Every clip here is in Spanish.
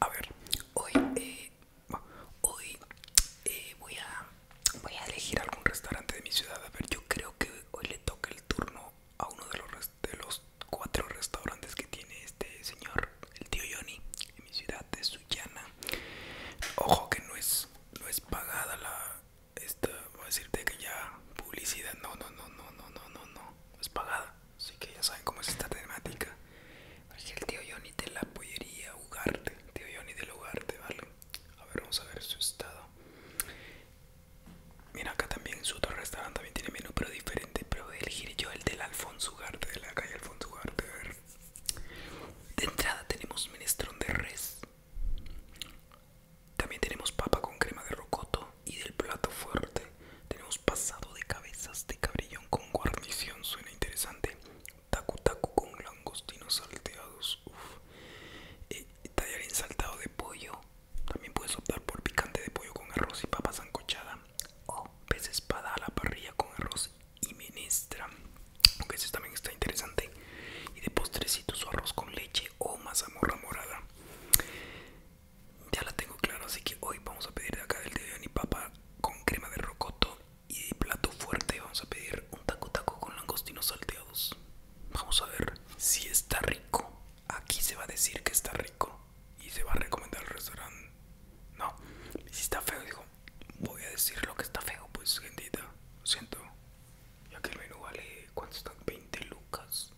A ver, hoy, eh, hoy eh, voy, a, voy a elegir algún restaurante de mi ciudad. A ver, yo creo que hoy le toca el turno a uno de los, de los cuatro restaurantes que tiene este señor, el tío Johnny, en mi ciudad de Sullana. Ojo que no es, no es pagada la... voy a decirte que ya publicidad, no, no, no, no, no, no, no, no, no es pagada. Así que ya saben cómo es esta temática. el tío Johnny de la pollería Ugarte. Tío Johnny del Ugarte, ¿vale? A ver, vamos a ver su estado. Mira, acá también su otro restaurante también tiene menú, pero diferente. Pero elegiré elegir yo el del Alfonso Ugarte, de la calle Alfonso Ugarte. A ver. De entrada tenemos minestrón de res. También tenemos papa con crema de rocoto y del plato fuerte tenemos pasado de cabezas de cabrillón con guarnición, suena interesante. Tacu tacu con langostinos salteados, eh, tallarín saltado de pollo, también puedes optar por picante de pollo con arroz y papa zancochada O pez espada a la parrilla con arroz y menestra, aunque ese también está interesante. Y de postrecitos, su arroz con leche o mazamorra morada ya la tengo claro así que hoy vamos a pedir acá el de mi papa con crema de rocoto y de plato fuerte vamos a pedir un taco taco con langostinos salteados. Vamos a ver si está rico. Aquí se va a decir que está rico y se va a recomendar el restaurante. No, si está feo, digo, voy a decir lo que está feo, pues gentita. Lo siento, ya que el menú vale, ¿cuánto están? 20 lucas.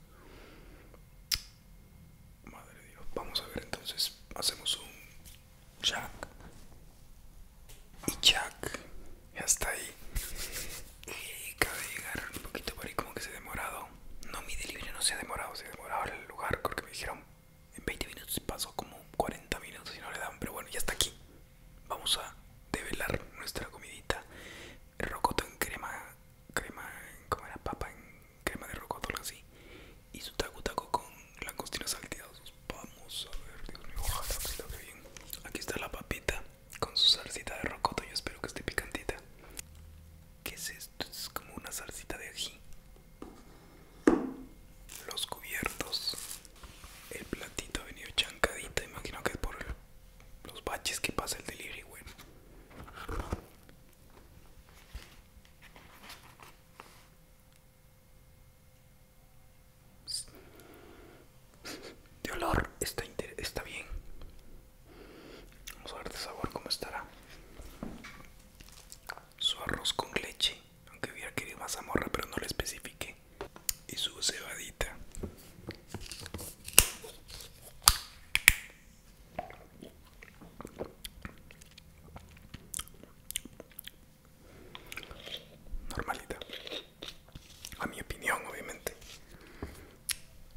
Madre de Dios, vamos a ver entonces, hacemos un jack y jack, ya está ahí. Y de llegar un poquito por ahí como que se ha demorado. No, mi delivery no se ha demorado, se ha demorado el lugar, porque me dijeron en 20 minutos pasó como 40 minutos y no le dan, pero bueno, ya está aquí. Vamos a develar nuestra comidita. Rocoto en crema crema, como era papa en crema de rocoto, algo así. Y su taco taco con costina salteados. Vamos a ver, Dios mío, bien. Aquí está la papita con su salsita de rocoto. Yo espero que esté picantita. ¿Qué es esto? Es como una salsita de ají. Los cubiertos. El platito ha venido chancadita. Imagino que es por los baches que pasa el delivery, de olor está, está bien. Vamos a ver de sabor cómo estará. Su arroz con leche, aunque hubiera querido más amorra pero no lo especifique. Y su cebadita. Normalita. A mi opinión, obviamente.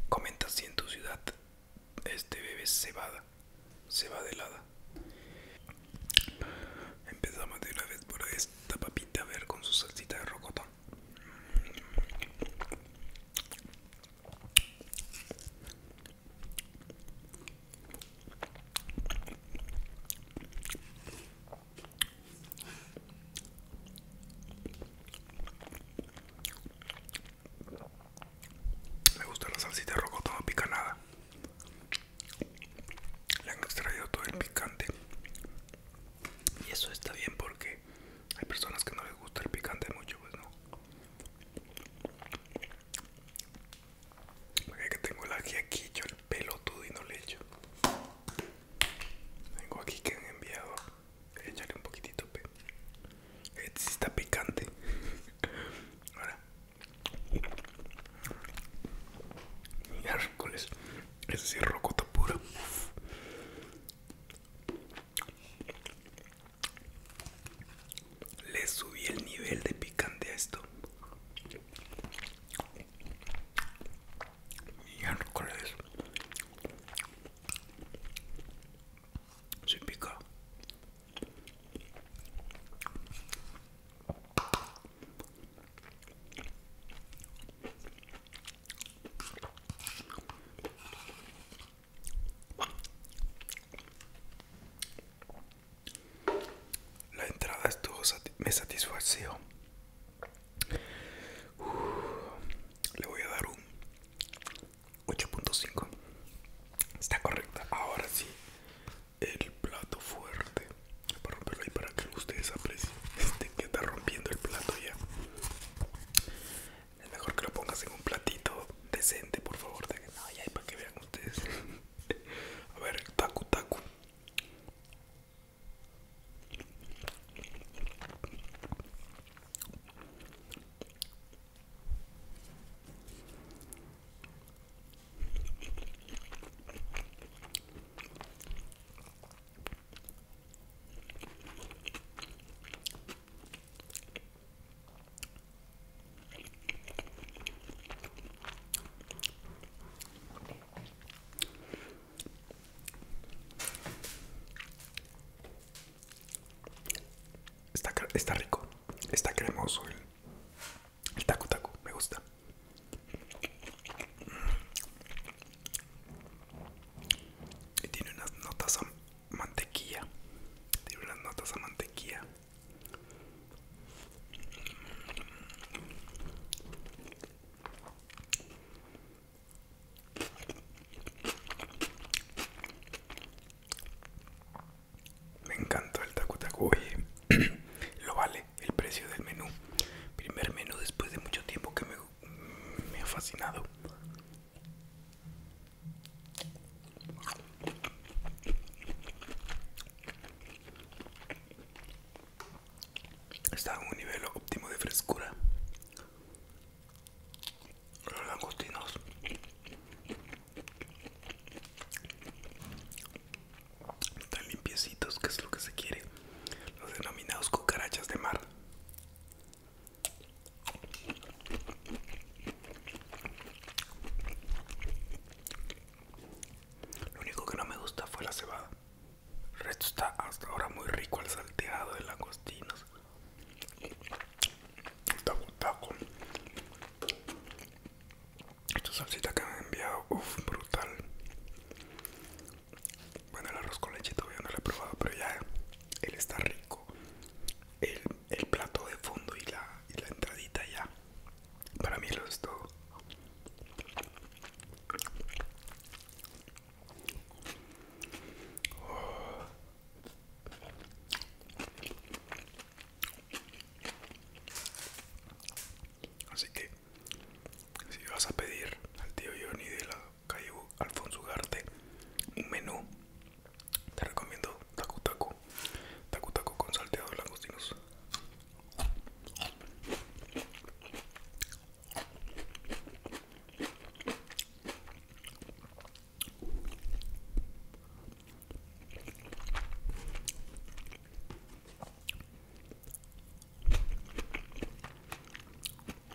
Comenta si en tu ciudad este bebé se va de helada. Empezamos de una vez por esta papita a ver con su salsita de rocotón. Me gusta la salsita rojo pica nada Le han extraído todo el picante. Y eso está bien porque hay personas que no les gusta el picante mucho, pues no. Porque que tengo la aquí, yo el pelo todo y no le echo. Tengo aquí que han enviado. echarle un poquitito, Este está picante. Ahora. Mira, Ese sí es rocoto puro le subí el nivel de picante a esto. Miércoles. Se pica. La entrada estuvo me satisfació. le voy a dar un 8.5. Está correcta. Ahora sí, el plato fuerte. Para romperlo ahí para que ustedes aprecien. Este que está rompiendo el plato ya. Es mejor que lo pongas en un platito decente, por favor. De que no, ya hay para que vean ustedes. A ver, taco, tacu tacu. Está, está rico, está cremoso el, el taco taco, me gusta. Y tiene unas notas mantequilla tiene unas notas a mantequilla me encanta el tacu tacu oye lo vale el precio del menú primer menú después de mucho tiempo que me, me ha fascinado Está a un nivel óptimo de frescura. Los langostinos están limpiecitos, que es lo que se quiere. Los denominados cucarachas de mar. Lo único que no me gusta fue la cebada. El resto está hasta ahora muy rico al salteado de langostinos. Taco, taco. Esta salsita que me han enviado, uff, brutal. Bueno, el arroz con leche todavía no lo he probado, pero ya él está rico el, plato de fondo y la, entradita ya para mí lo es todo Así que si vas a pedir al tío Johnny de lado calle Alfonso Garte menú te recomiendo taco taco taco taco con de langostinos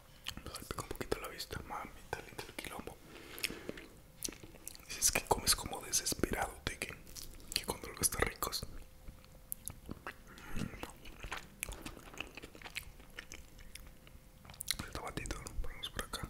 Me pues salpica un poquito la vista, mami, tal el del quilombo. Es que comes como desesperado, de que, que cuando algo está rico. Mm. este El tomatito lo ponemos por acá.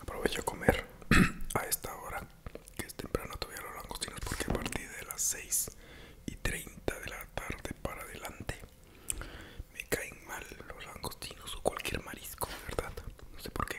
Aprovecho a comer a esta hora que es temprano todavía los langostinos porque a partir de las 6 y 30 de la tarde para adelante me caen mal los langostinos o cualquier marisco, de verdad, no sé por qué.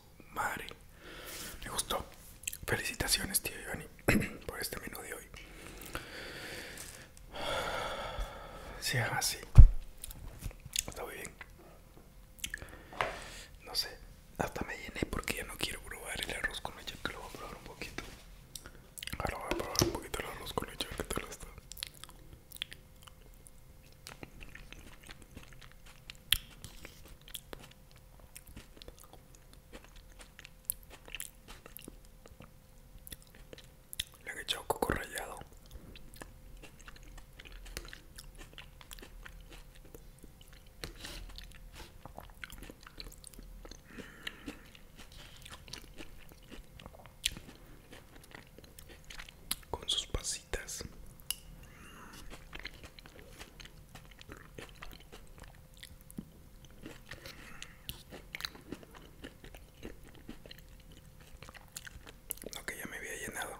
madre. Me gustó. Felicitaciones, tío Johnny, por este menú de hoy. Si, Sí, así. Está muy bien. No sé, hasta me llené porque ya no quiero probar el arroz con leche, que lo voy a probar un poquito. Ahora voy a probar un poquito el arroz con leche, que tal está. Le han echado coco rallado. Con sus pasitas. No, que ya me había llenado.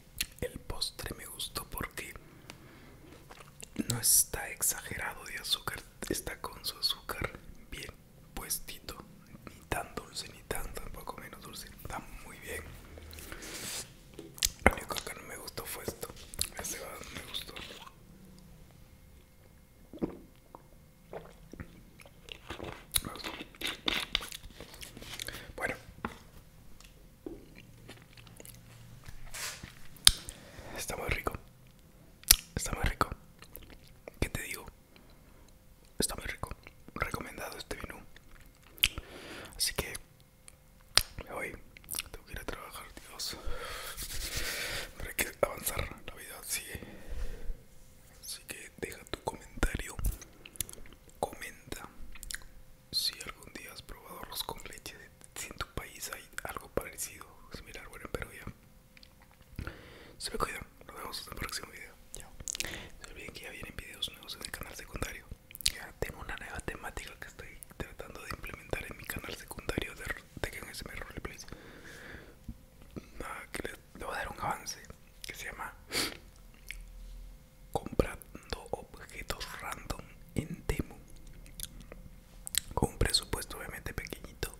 El postre me gustó porque no está exagerado de azúcar, está con su azúcar bien puestito, ni tan dulce ni tan tampoco menos dulce, está muy bien. Lo único que no me gustó fue esto, este me gustó. Bueno, Está muy rico. Está muy rico. ¿Qué te digo? Está muy rico. Recomendado este menú. Así que hoy voy. Tengo que ir a trabajar, Dios. para que avanzar. La vida Así que deja tu comentario. Comenta. Si algún día has probado los con leche, si en tu país hay algo parecido, similar, bueno, en Perú ya. Se me cuidan, nos vemos en el próximo video. No olviden que ya vienen videos nuevos en el canal secundario. Ya tengo una nueva temática que estoy tratando de implementar en mi canal secundario de Tekken Roleplays. Nada, que ah, le voy a dar un avance que se llama comprando objetos random en Temu con un presupuesto obviamente pequeñito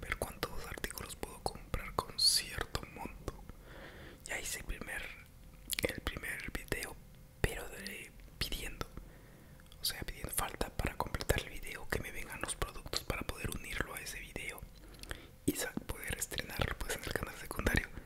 ver cuántos artículos puedo comprar con cierto monto ya hice el primer el primer video pero pidiendo o sea pidiendo falta para completar el video que me vengan los productos para poder unirlo a ese video y poder estrenarlo pues en el canal secundario